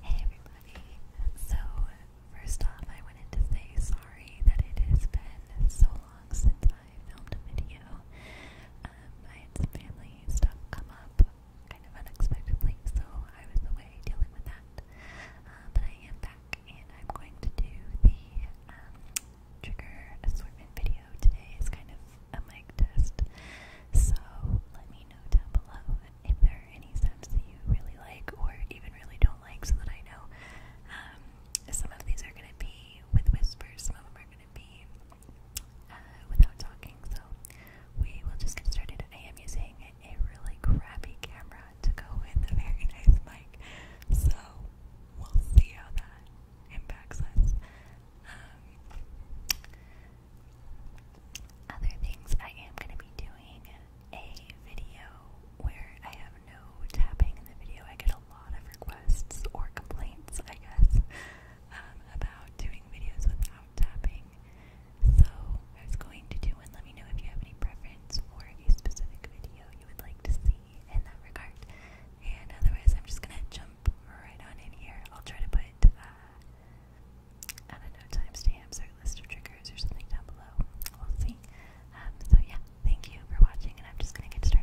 Hey everybody! So, first off, I wanted to say sorry that it has been so long since I filmed a video. Um, I had some family stuff come up kind of unexpectedly, so I was away dealing with that. Uh, but I am back, and I'm going to do the um, trigger assortment video today is kind of a mic test. So let me know down below if there are any sounds that you really like or even really don't like so that I know. Um, some of these are going to be with whispers, some of them are going to be uh, without talking. So we will just get started. I am using a really crappy camera to go with a very nice mic. So we'll see how that impacts us. Um, other things, I am going to be doing a video where I have no tapping in the video. I get a lot of requests or complaints, I guess, um, about doing videos without tapping. So I was going to do one. Let me know if you have any preference or a specific video you would like to see in that regard. And otherwise, I'm just gonna jump right on in here. I'll try to put, uh, I don't know, timestamps or list of triggers or something down below. We'll see. Um, so, yeah, thank you for watching, and I'm just gonna get started.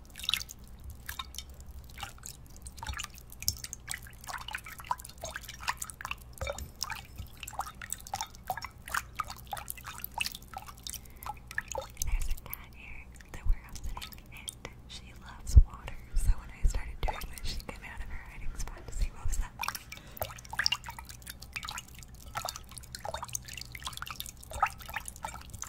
There's a cat here that we're upsetting, and she loves water. So when I started doing this, she came out of her hiding spot to see what was up.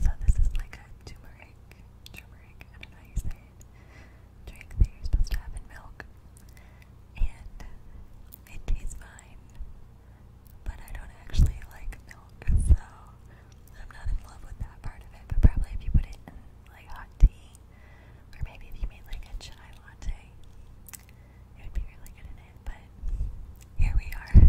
So this is like turmeric, turmeric, I don't know you it, drink that you're supposed to have in milk. And it tastes fine, but I don't actually like milk, so I'm not in love with that part of it. But probably if you put it like hot tea or maybe if you made like a chai latte, it would be really good in it, but here we are.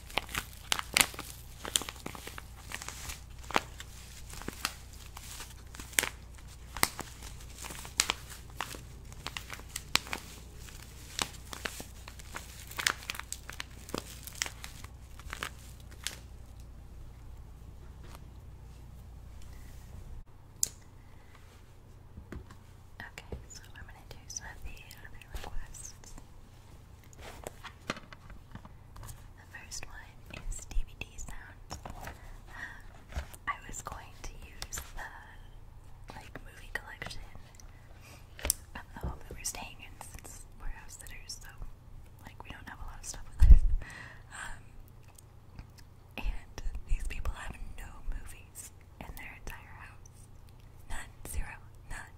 Okay, so I'm going to do some of the other requests. The first one is DVD sounds. Um, I was going to use the like movie collection of the home that we're staying in since we're house sitters, so like we don't have a lot of stuff with us. Um, and these people have no movies in their entire house. None, zero, none.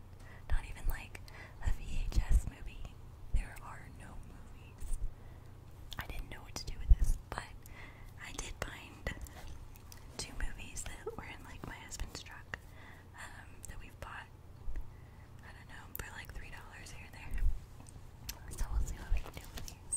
Not even like a VHS movie. There are no movies. I didn't know what to do with this, but I did find two movies that were in like my husband's truck um, that we've bought. I don't know for like three dollars here and there. So we'll see what we can do with these.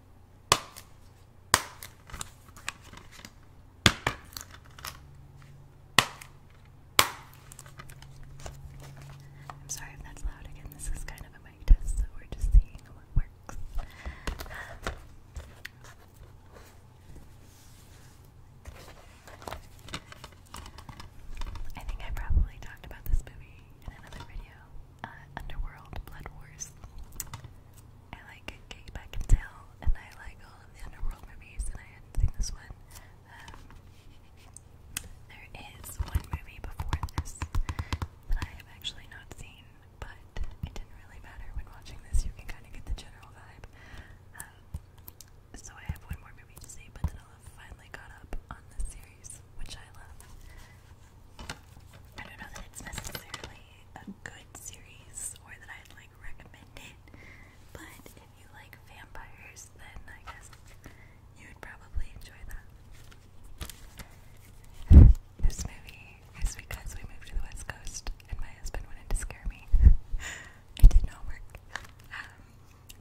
I'm sorry if that's loud again. This is kind of a mic test, so we're just seeing what works. I think I probably talked about this movie in another video, uh, Underworld Blood Wars. I like Kick and Tail, and I like all of the Underworld movies, and I hadn't seen this one. Um, there is one movie before this that I have actually not seen, but it didn't really matter when watching this. You can kind of get the general vibe. Um, so I have one more movie to see, but then I'll have finally caught up on this series, which I love. I don't know that it's necessarily a good series or that I'd like recommend it, but if you like vampires, then I guess you would probably enjoy that. This movie is because we moved to the West Coast and my husband wanted to scare me. it did not work. Um,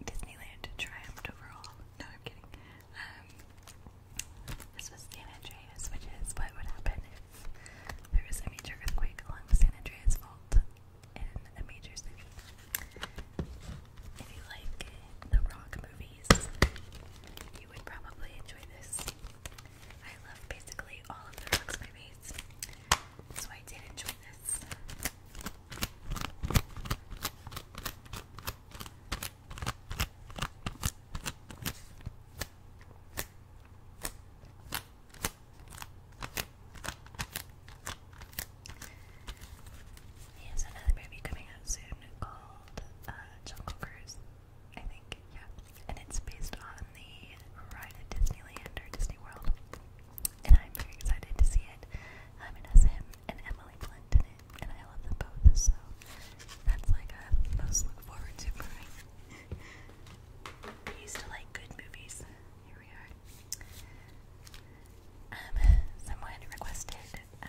Disneyland triumphed overall. No, I'm kidding. Um, this was San Andreas, which is what would happen if there was a major earthquake along the San Andreas Fault in a major city. If you like the rock movies, you would probably enjoy this. I love basically all of the Rocks movies, so I did enjoy this. He has another movie coming out soon called uh, Jungle Cruise, I think, yeah. And it's based on the ride at Disneyland or Disney World. And I'm very excited to see it. Um, it has him and Emily Blunt and I love them both, so that's like a most look forward to for me. I used to like good movies. Here we are. Um, someone requested uh,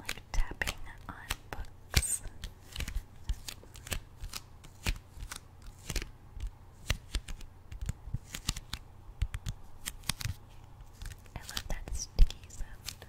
like tapping on books. I love that sticky sound.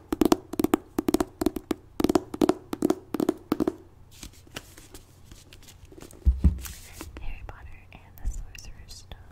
Harry Potter and the Sorcerer's Stone.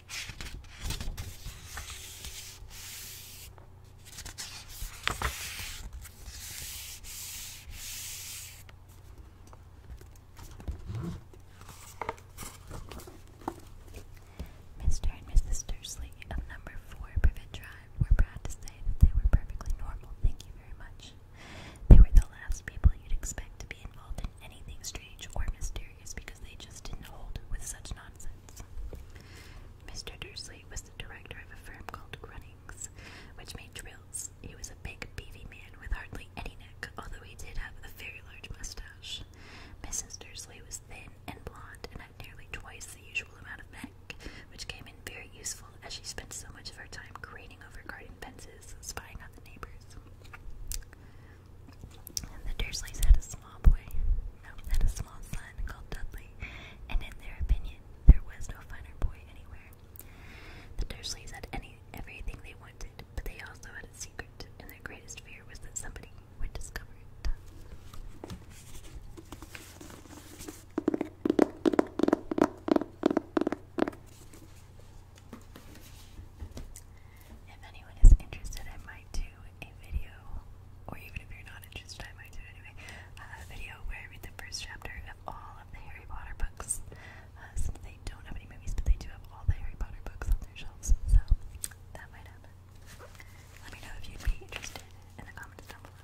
Mr. and Mrs. Dursley of number 4 Privet Drive were proud to say that they were perfectly normal, thank you very much. They were the last people you'd expect to be involved find anything strange or mysterious because they just didn't hold with such nonsense. Mr. Dursley was the director of a firm called Grunnings, which made drills. He was a big, beefy man with hardly any neck, although he did have a very large mustache. Mrs. Dursley was thin and blonde and had nearly twice the usual amount of neck, which came in very useful as she spent so much of her time craning over garden fences, spying on the neighbors the Dursleys had a small boy, had a small son called Dudley, and in their opinion, there was no finer boy anywhere. The Dursleys had any everything they wanted, but they also had a secret, and their greatest fear was that somebody would discover it. If anyone is interested, I might do a video, or even if you're not interested, I might do it anyway. Uh, a video where I read the first chapter of all of the Harry Potter books. Uh, since they don't have any movies, but they do have all the Harry Potter books on their shelves, so that might happen. Let me know if you'd be interested in the comments down below.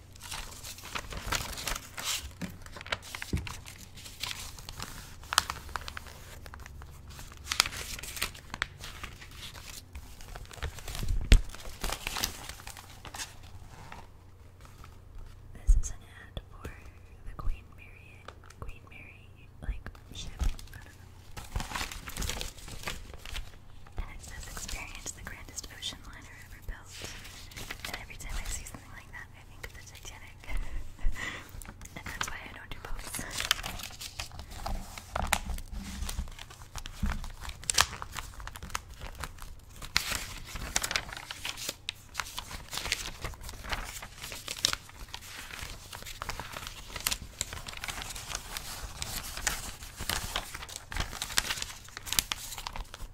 This is an ad for the Queen Mary, Queen Mary, like ship. I don't "Experience the grandest ocean liner ever built." And every time I see something like that. I think of the Titanic, and that's why I don't do both.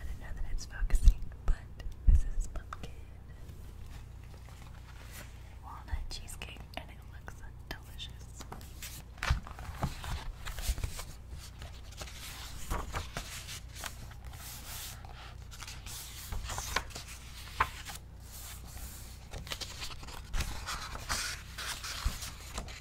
I don't know that it's focusing, but this is pumpkin walnut cheesecake, and it looks delicious.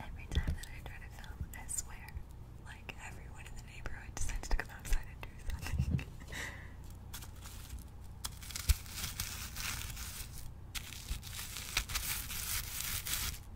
Every time that I try to film, I swear, like everyone in the neighborhood decides to come outside and do something.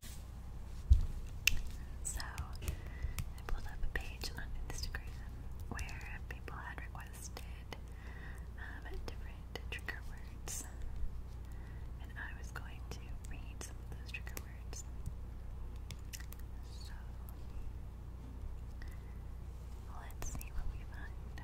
So I pulled up a page on Instagram where people had requested um, different trigger words, and I was going to read some of those trigger words. So let's see what we find.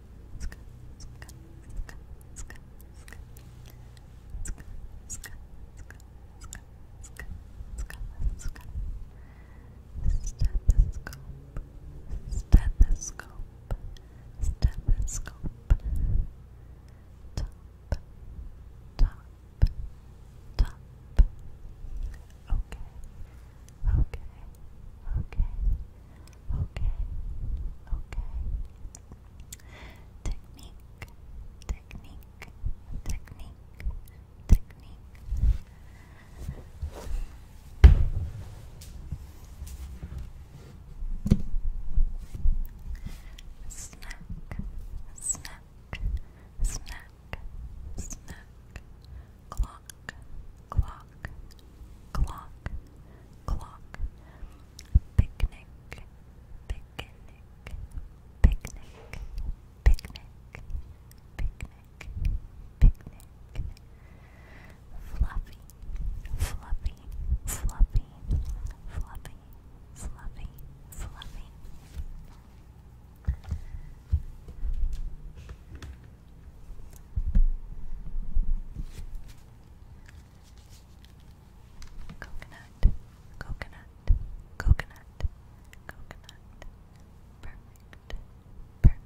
stethoscope, stethoscope, top, top, top. Okay. Okay, okay, okay, okay. Technique, technique, technique, technique. Snack, snack, snack, snack. Claw, clock, clock, clock, clock, picnic, picnic, picnic, picnic, picnic, picnic, fluffy, fluffy, fluffy, fluffy, fluffy, fluffy. Coconut, coconut, coconut, coconut. Perfect, perfect,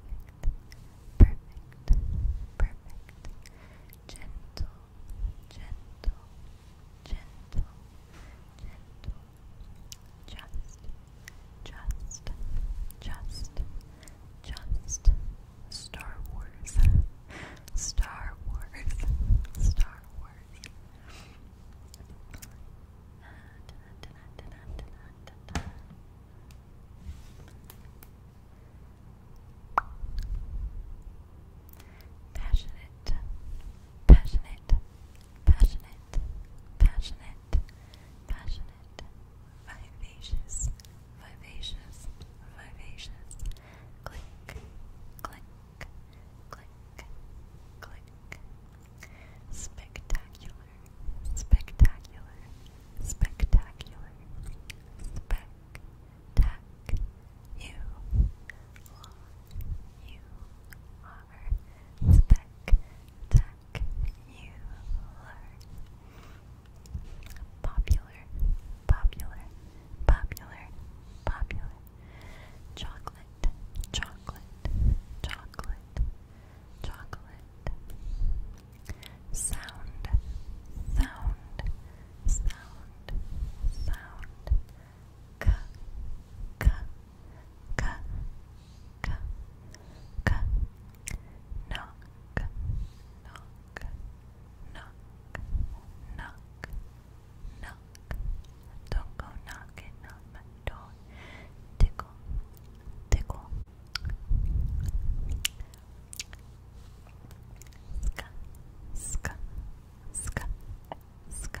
perfect, perfect. Gentle, gentle, gentle, gentle. Just, just, just, just, Star Wars. Star Wars. Star Wars. Passionate, passionate, passionate, passionate, passionate, vivacious, vivacious, vivacious. Click, click, click, click. Spectacular, spectacular, spectacular. Spec, tac, you are, you are. Spec, tac you are popular, popular, popular, popular. Chocolate, chocolate, chocolate, chocolate. Sound, sound, sound, sound. K, k, k, k, knock, knock, knock, knock, knock. Don't go knocking on my door. Tickle, tickle. Ska, ska, ska, ska.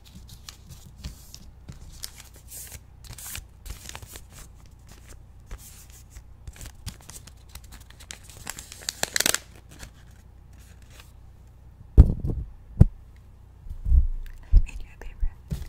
I made you a favorite.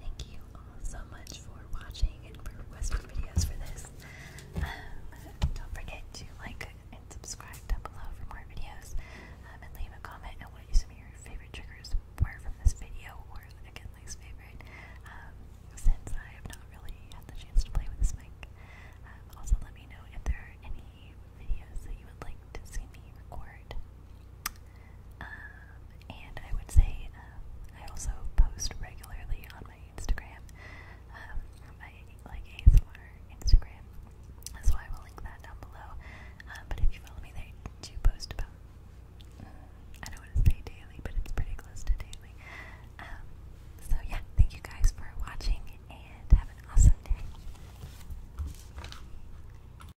Thank you all so much for watching and for requesting videos for this. Um, don't forget to like and subscribe down below for more videos. Um, and leave a comment and what some of your favorite triggers were from this video or again least favorite. Um, since I have not really had the chance to play with this mic. also let me know if there are any videos that you would like to see me record. Um, and I would say um, I also post regularly on my Instagram, um, my like ASMR Instagram, so I will link that down below. but if you follow me there, do post about mm, I don't want to say daily, but it's pretty close to daily. so yeah, thank you guys for watching, and have an awesome day.